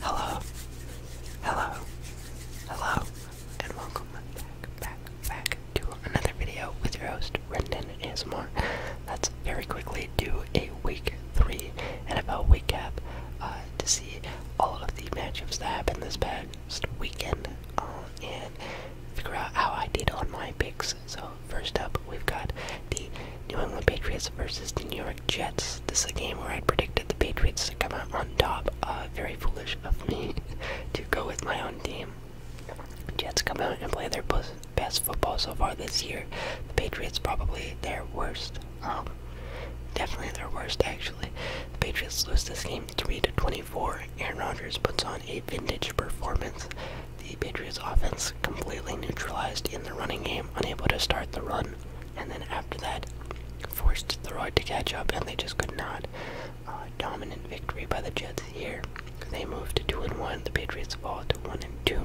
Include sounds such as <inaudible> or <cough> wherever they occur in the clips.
Hello, hello, hello, and welcome back, back, back to another video with your host, Brendan ASMR. Let's very quickly do a week 3 NFL week uh, to see all of the matchups that happened this past weekend uh, and figure out how I did on my picks. So, first up, we've got the New England Patriots versus the New York Jets. This is a game where I predicted the Patriots to come out on top. Uh, very foolish of <laughs> me to go with my own team. Jets come out and play their best football so far this year. The Patriots probably their worst. Um, definitely their worst actually. The Patriots lose this game 3 24. Aaron Rodgers puts on a vintage performance. The Patriots offense completely neutralized in the running game, unable to start the run and then after that, forced the Road to catch up, and they just could not. Uh, dominant victory by the Jets here. They moved to two and one. The Patriots fall to one and two.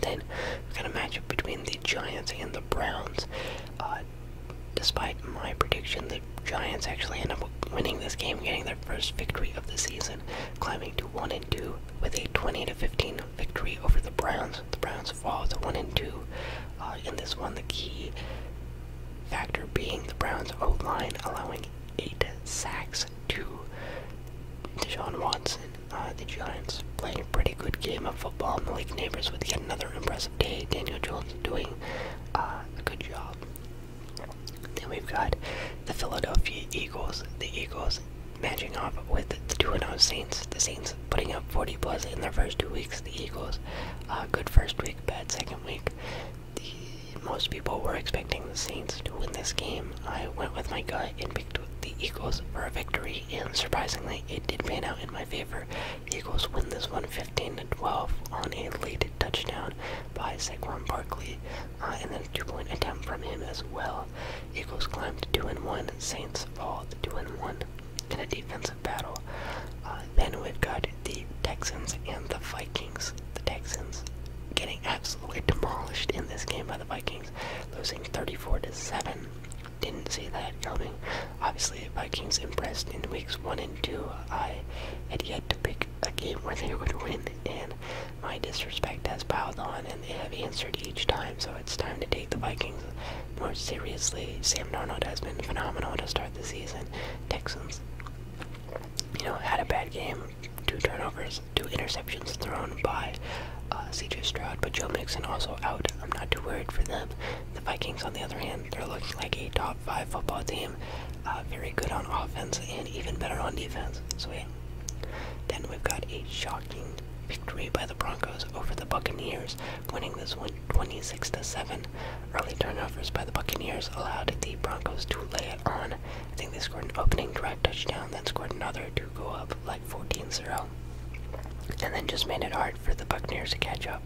Then we got a matchup between the Giants and the Browns. Uh, despite my prediction, the Giants actually end up winning this game, getting their first victory of the season, climbing to one and with a 20 15 victory over the Browns. The Browns fall to 1 2 uh, in this one. The key factor being the Browns O line allowing eight sacks to Deshaun Watson. Uh, the Giants playing a pretty good game of football. Malik Neighbors with yet another impressive day. Daniel Jones doing uh, a good job. Then we've got the Philadelphia Eagles. The Eagles matching up with the 2-0 Saints. The Saints putting up 40 plus in their first two weeks. The Eagles, good first week, bad second week. most people were expecting the Saints to win this game. I went with my gut and picked the Eagles for a victory, and surprisingly, it did pan out in my favor. Eagles win this one 15 to 12 on a late touchdown by Saquon Barkley, uh, and then a two-point attempt from him as well. Eagles climbed to 2 and 1, Saints fall to 2 and 1 in a defensive battle. Uh, then we've got the Texans and the Vikings. The Texans getting absolutely demolished in this game by the Vikings, losing 34 to 7. Didn't see that coming. Obviously, Vikings impressed in weeks 1 and 2. I had yet to pick a game where they would win, and my disrespect has piled on, and they have answered each time, so it's time to take the Vikings more seriously. Sam Darnold has been phenomenal to start the season. Texans, you know, had a bad game. Two turnovers, two interceptions thrown by uh, CJ Stroud, but Joe Mixon also out. I'm not too worried for them. The Vikings, on the other hand, they're looking like a top five football team. Uh, very good on offense and even better on defense. So, yeah, then we've got a shocking victory by the Broncos over the Buccaneers, winning this one 26 to 7. Early turnovers by the Buccaneers allowed the Broncos to lay it on. I think they scored an opening drive touchdown, then scored another to go up like 14-0. And then just made it hard for the Buccaneers to catch up.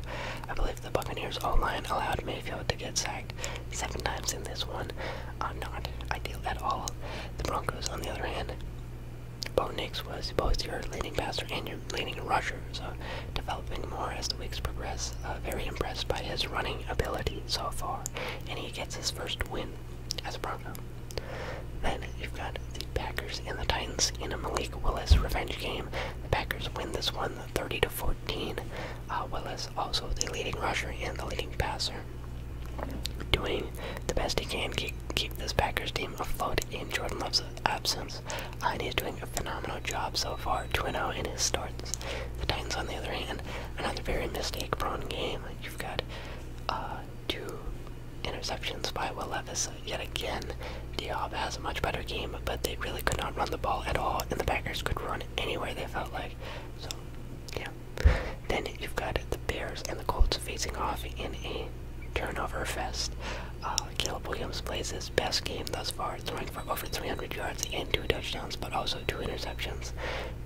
I believe the Buccaneers O line allowed Mayfield to get sacked seven times in this one uh, not ideal at all. The Broncos, on the other hand, Bo Nix was both your leading passer and your leading rusher, so developing more as the weeks progress. Uh, very impressed by his running ability so far, and he gets his first win as a Bronco. Then you've got the Packers and the Titans in a Malik Willis revenge game. The Packers win this one 30 to 14. Uh, Willis also the leading rusher and the leading passer doing the best he can keep, keep this Packers team afloat in Jordan Love's absence. Uh, and he's doing a phenomenal job so far, 2-0 in his starts. The Titans, on the other hand, another very mistake-prone game. You've got uh, two interceptions by Will Levis yet again. Diop has a much better game, but they really could not run the ball at all, and the Packers could run anywhere they felt like. So, yeah, then you've got the Bears and the Colts facing off in a turnover fest. Uh, Caleb Williams plays his best game thus far, throwing for over 300 yards and two touchdowns, but also two interceptions.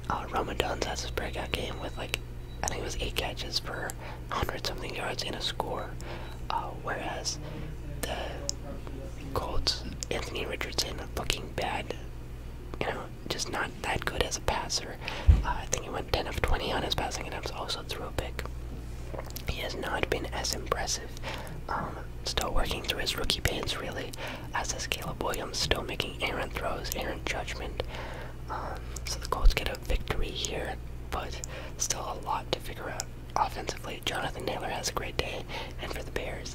Uh, Roman has his breakout game with like, I think it was eight catches for 100 something yards and a score. Uh, whereas the Colts, Anthony Richardson looking bad, you know, just not that good as a passer. Uh, I think he went 10 of 20 on his passing attempts, also threw a pick. He has not been as impressive. Um, still working through his rookie pains, really, as is Caleb Williams, still making errant throws, errant judgment. Um, so the Colts get a victory here, but still a lot to figure out offensively. Jonathan Taylor has a great day and for the Bears,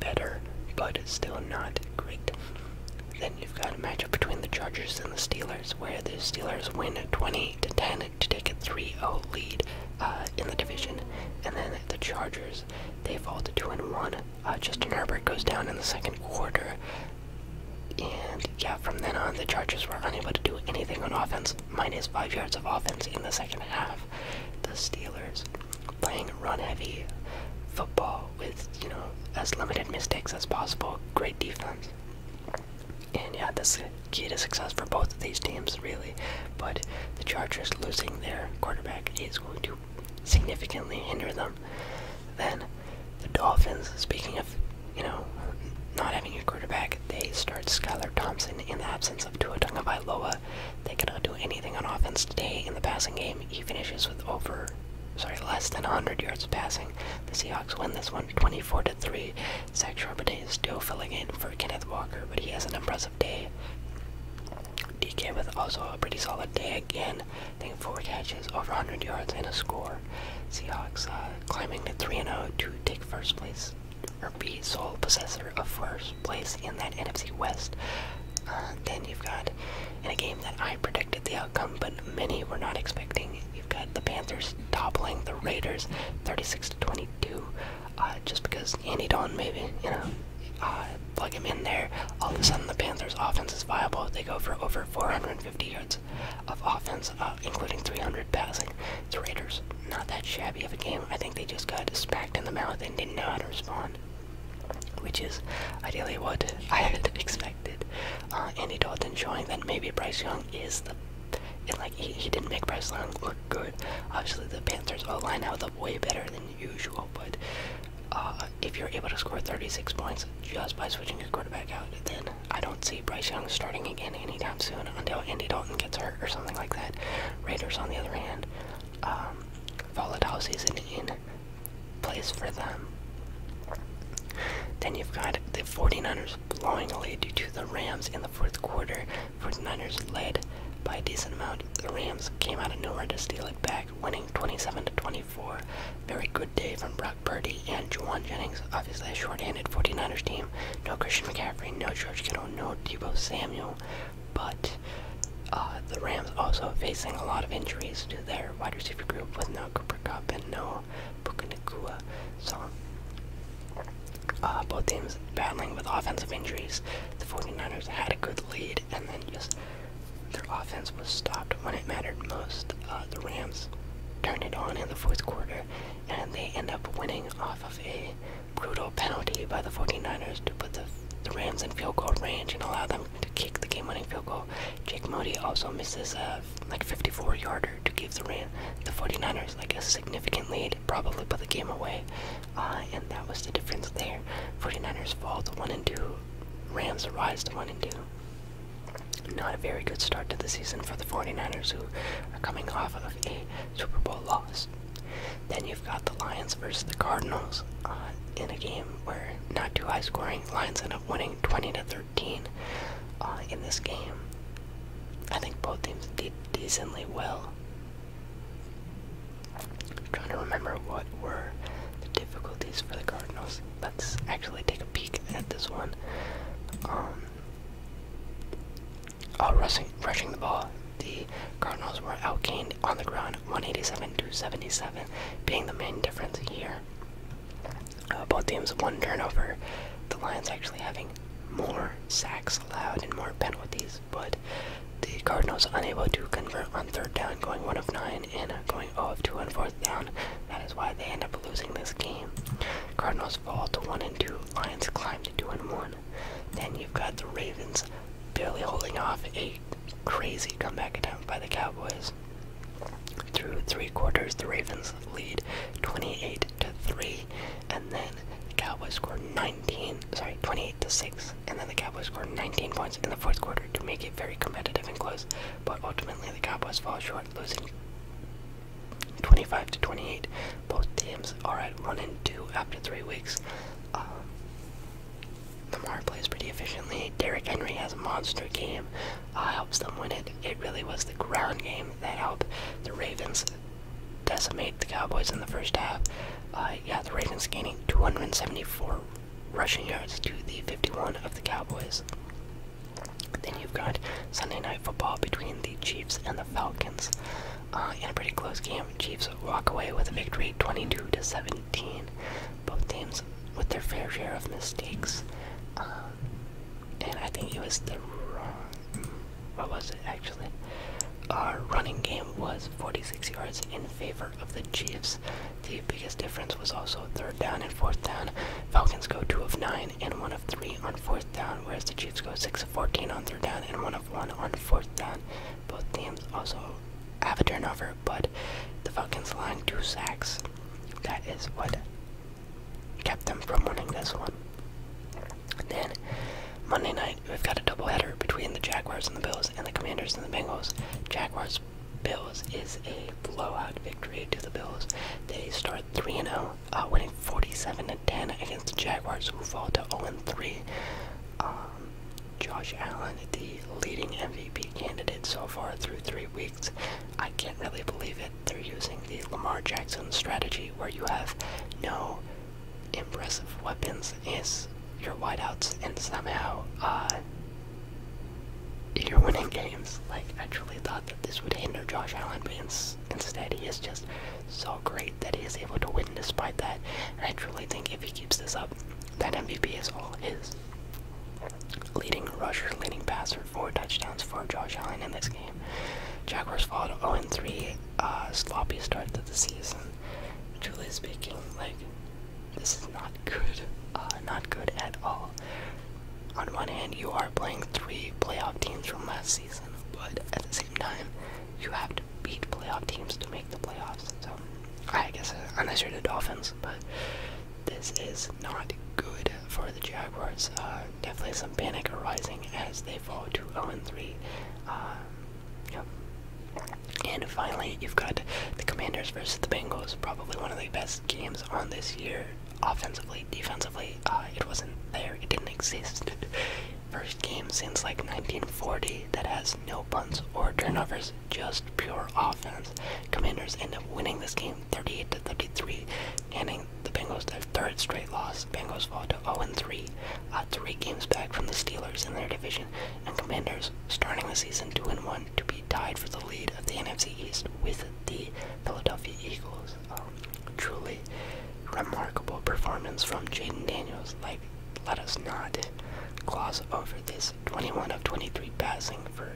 better, but still not great. Then you've got a matchup between the Chargers and the Steelers, where the Steelers win 20 to 10 to take a 3-0 lead uh, in the division, and then the Chargers they fall to 2 and 1. Uh, Justin Herbert goes down in the second quarter, and yeah, from then on the Chargers were unable to do anything on offense, minus five yards of offense in the second half. The Steelers playing run-heavy football with you know as limited mistakes as possible. Great defense, and yeah, that's key to success for both of these teams, really. But the Chargers losing their quarterback is going to significantly hinder them. Then the Dolphins, speaking of you know not having a quarterback, they start Skylar Thompson in the absence of Tua Tagovailoa, they cannot do anything on offense today in the passing game. He finishes with over, sorry, less than 100 yards passing. The Seahawks win this one 24 to 3. Zach Charbonnet is still filling in for Kenneth Walker, but he has an impressive day. DK with also a pretty solid day again. I think four catches, over 100 yards, and a score. Seahawks uh, climbing to 3 0 to take first place or be sole possessor of first place in that NFC West. Uh, then you've got in a game that I predicted the outcome, but many were not expecting. You've got the Panthers toppling the Raiders, 36 to 22, uh, just because Andy Dalton maybe you know uh, plug him in there. All of a sudden, the Panthers' offense is viable. They go for over 450 yards of offense, including 300 passing. The Raiders not that shabby of a game. I think they just got spacked in the mouth and didn't know how to respond, which is ideally what I had <laughs> expected. Uh, Andy Dalton showing that maybe Bryce Young is the like he, didn't make Bryce Young look good. Obviously, the Panthers' O line held up way better than usual, but uh, if you're able to score 36 points just by switching your quarterback out, then I don't see Bryce Young starting again anytime soon until Andy Dalton gets hurt or something like that. Raiders, on the other hand, um, volatile season in place for them. Then you've got the 49ers blowing a lead due to the Rams in the fourth quarter. 49ers led by a decent amount. The Rams came out of nowhere to steal it back, winning 27 to 24. Very good day from Brock Purdy and Juwan Jennings. Obviously, a short-handed 49ers team. No Christian McCaffrey, no George Kittle, no Debo Samuel. But uh, the Rams also facing a lot of injuries to their wide receiver group with no Cooper Cup and no Pukunakua. So uh, both teams battling with offensive injuries. The 49ers had a good lead and then just their offense was stopped when it mattered most. Uh, the Rams turned it on in the fourth quarter and they end up winning off of a brutal penalty by the 49ers to put the, the Rams in field goal range and allow them to kick the game-winning field goal. Jake Moody also misses a like 54-yarder to give the Rams the 49ers like a significant lead, probably put the game away, uh, and that was the difference there. 49ers fall to one and two, Rams rise to one and two. Not a very good start to the season for the 49ers, who are coming off of a Super Bowl loss. Then you've got the Lions versus the Cardinals uh, in a game where not too high scoring. Lions end up winning 20 to 13 uh, in this game. I think both teams did decently well. I'm trying to remember what were the difficulties for the Cardinals. Let's actually take a peek at this one. Um, out uh, rushing, the ball, the Cardinals were outgained on the ground 187 to 77, being the main difference here. Uh, both teams one turnover. The Lions actually having more sacks allowed and more penalties, but the Cardinals unable to convert on third down, going one of nine and going 0 of two on fourth down. That is why they end up losing this game. Cardinals fall to one and two. Lions climb to two and one. Then you've got the Ravens barely holding off a crazy comeback attempt by the Cowboys. Through three quarters, the Ravens lead 28 to 3, and then the Cowboys score 19, sorry, 28 to 6, and then the Cowboys score 19 points in the fourth quarter to make it very competitive and close. But ultimately, the Cowboys fall short, losing 25 to 28. Both teams are at 1 and 2 after 3 weeks. Um, Lamar plays pretty efficiently. Derrick Henry has a monster game, uh, helps them win it. It really was the ground game that helped the Ravens decimate the Cowboys in the first half. Uh, yeah, the Ravens gaining 274 rushing yards to the 51 of the Cowboys. Then you've got Sunday night football between the Chiefs and the Falcons. Uh, in a pretty close game, Chiefs walk away with a victory 22 to 17. Both teams with their fair share of mistakes. Uh, and I think it was the wrong. What was it actually? Our running game was 46 yards in favor of the Chiefs. The biggest difference was also third down and fourth down. Falcons go 2 of 9, and 1 of 3 on 4th down, whereas the Chiefs go 6 of 14 on 3rd down and 1 of 1 on 4th down. Both teams also have a turnover, but the Falcons line 2 sacks. That is what kept them from winning this one. then Monday night, we've got a doubleheader between the Jaguars and the Bills and the Commanders and the Bengals. Jaguars Bills is a blowout victory to the Bills. They start 3 0. Uh, winning 47 10 against the Jaguars, who fall to 0 3. Um, Josh Allen, the leading MVP candidate so far through three weeks. I can't really believe it. They're using the Lamar Jackson strategy where you have no impressive weapons is your wideouts, and somehow uh, you're winning games. Like, I truly thought that this would hinder Josh Allen, but Instead, he is just so great that he is able to win despite that. And I truly think if he keeps this up, that MVP is all his. Leading rusher, leading passer, four touchdowns for Josh Allen in this game. Jaguars fall to 0-3, uh, sloppy start to the season. Truly speaking, like, this is not good. Uh, not good at all. On one hand, you are playing three playoff teams from last but at the same time, you have to beat playoff teams to make the playoffs. So, I guess unless uh, you're the Dolphins, but this is not good for the Jaguars. Uh, definitely some panic arising as they fall to 0-3. Uh, yep. And finally, you've got the Commanders versus the Bengals, probably one of the best games on this year offensively, defensively, uh, it wasn't there. It didn't exist. <laughs> First game since like 1940 that has no punts or turnovers, just pure offense. Commanders end up winning this game 38 to 33, ending the Bengals third straight loss. Bengals fall to 0-3, uh, three games back from the Steelers in their division, and Commanders starting the season 2-1 to be tied for the lead of the NFC East with the Philadelphia Eagles. A truly remarkable performance from Jaden Daniels. Like, let us not gloss over this 21 of 23 passing for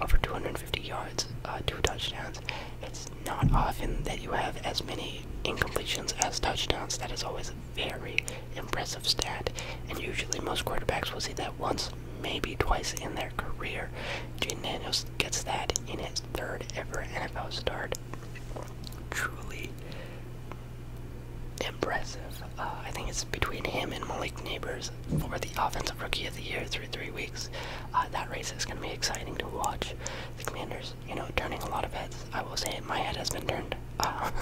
over 250 yards, uh, two touchdowns. It's not often that you have as many incompletions as touchdowns. That is always a very impressive stat, and usually most quarterbacks will see that once, maybe twice in their career. Gene Daniels gets that in his third ever NFL start. Truly impressive. Uh, I think it's between him and Malik Neighbors for the Offensive Rookie of the Year through three weeks. Uh, that race is going to be exciting to watch. The Commanders, you know, turning a lot of heads. I will say my head has been turned. <laughs> I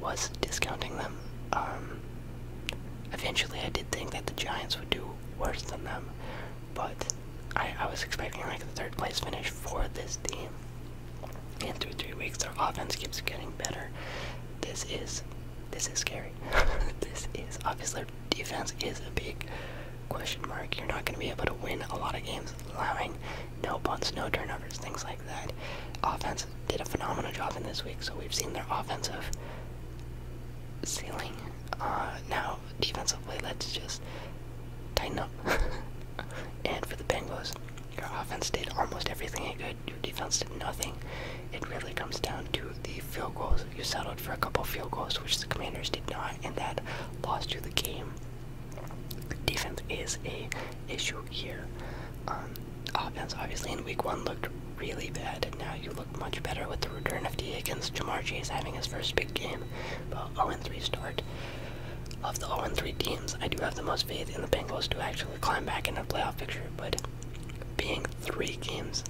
was discounting them. Um, eventually, I did think that the Giants would do worse than them. But I, was expecting like a third place finish for this team. In two three weeks, their offense keeps getting better. This is this is scary. <laughs> this is obviously defense is a big question mark. You're not going to be able to win a lot of games allowing no punts, no turnovers, things like that. Offense did a phenomenal job in this week, so we've seen their offensive ceiling uh, now, defensively, let's just tighten up. <laughs> and for the Bengals, your offense did almost everything it could, your defense did nothing. It really comes down to the field goals. You settled for a couple field goals, which the Commanders did not, and that lost you the game. Defense is a issue here. Um, offense, obviously, in week one looked really bad, and now you look much better with the return of D against Jamar Chase having his first big game, but 0-3 start. Of the 0-3 teams, I do have the most faith in the Bengals to actually climb back in the playoff picture, but being three games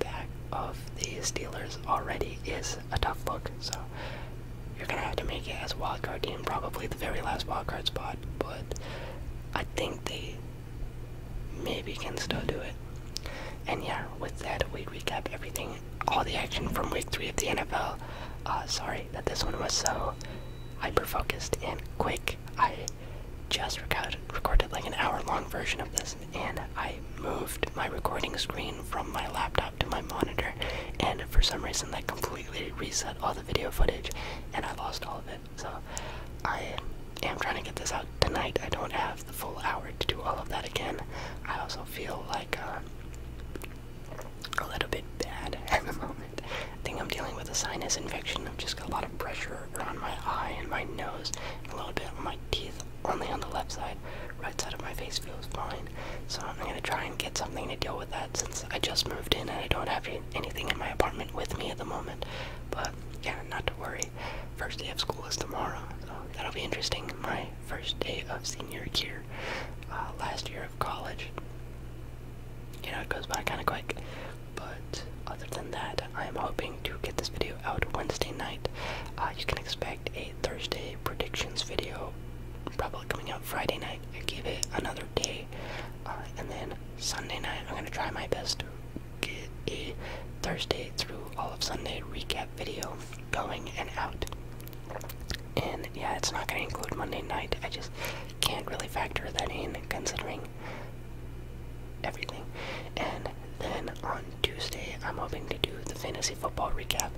back of the Steelers already is a tough look, so you're gonna have to make it as a wildcard team, probably the very last wildcard spot, but I think they maybe can still do it. And yeah, with that, we recap everything, all the action from week three of the NFL. Uh, sorry that this one was so hyper focused and quick. I just recorded, like an hour long version of this, and I moved my recording screen from my laptop to my monitor, and for some reason, that completely reset all the video footage, and I lost all of it. So I am trying to get this out tonight. I don't have the full hour to do all of that again. I also feel like uh, a little bit bad <laughs> at the moment. I think I'm dealing with a sinus infection. I've just got a lot of pressure around my eye and my nose, a little bit on my teeth, only on the left side. Right side of my face feels fine. So I'm gonna try and get something to deal with that since I just moved in and I don't have anything in my apartment with me at the moment. But yeah, not to worry. First day of school is tomorrow, so that'll be interesting. My first day of senior year, uh, last year of college. You know, it goes by kind of quick. But other than that, I'm hoping to get this video out Wednesday night. Uh, you can expect a Thursday predictions video, probably coming out Friday night. I give it another day, uh, and then Sunday night I'm gonna try my best get a Thursday through all of Sunday recap video going and out. And yeah, it's not going to include Monday night. I just can't really factor that in considering everything. And then on Tuesday, I'm hoping to do the fantasy football recap,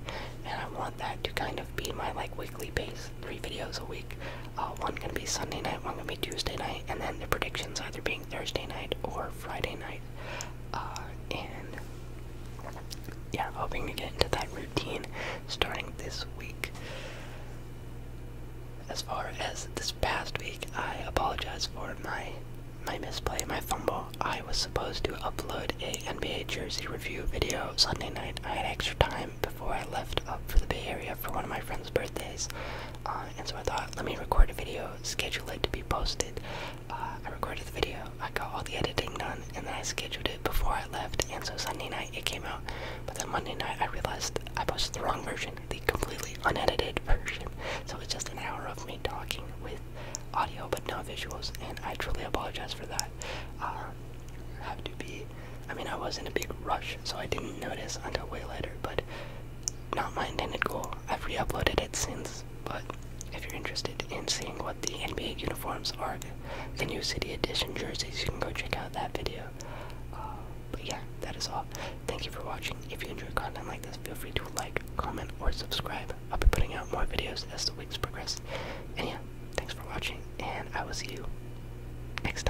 and I want that to kind of be my like weekly base, three videos a week. Uh, one gonna be Sunday night, one gonna be Tuesday night, and then the predictions either being Thursday night or Friday night. Uh, and yeah, hoping to get into that routine starting this week. As far as this past week, I apologize for my my misplay, my fumble. I was supposed to upload a NBA jersey review video Sunday night. I had extra time before I left up for the Bay Area for one of my friends' birthdays. Uh, and so I thought, let me record a video, schedule it to be posted. Uh, I recorded the video, I got all the editing done, and then I scheduled it before I left. And so Sunday night it came out, but then Monday night I realized I posted the wrong version, the completely unedited version. So it's just an hour of me talking with audio but no visuals, and I truly apologize for that. Uh, have to be I mean, I was in a big rush, so I didn't notice until way later, but not my intended goal. I've re uploaded it since, but if you're interested in seeing what the NBA uniforms are, the new City Edition jerseys, you can go check out that video. Uh, but yeah, that is all. Thank you for watching. If you enjoy content like this, feel free to like, comment, or subscribe. I'll be putting out more videos as the weeks progress. And yeah, thanks for watching, and I will see you next time.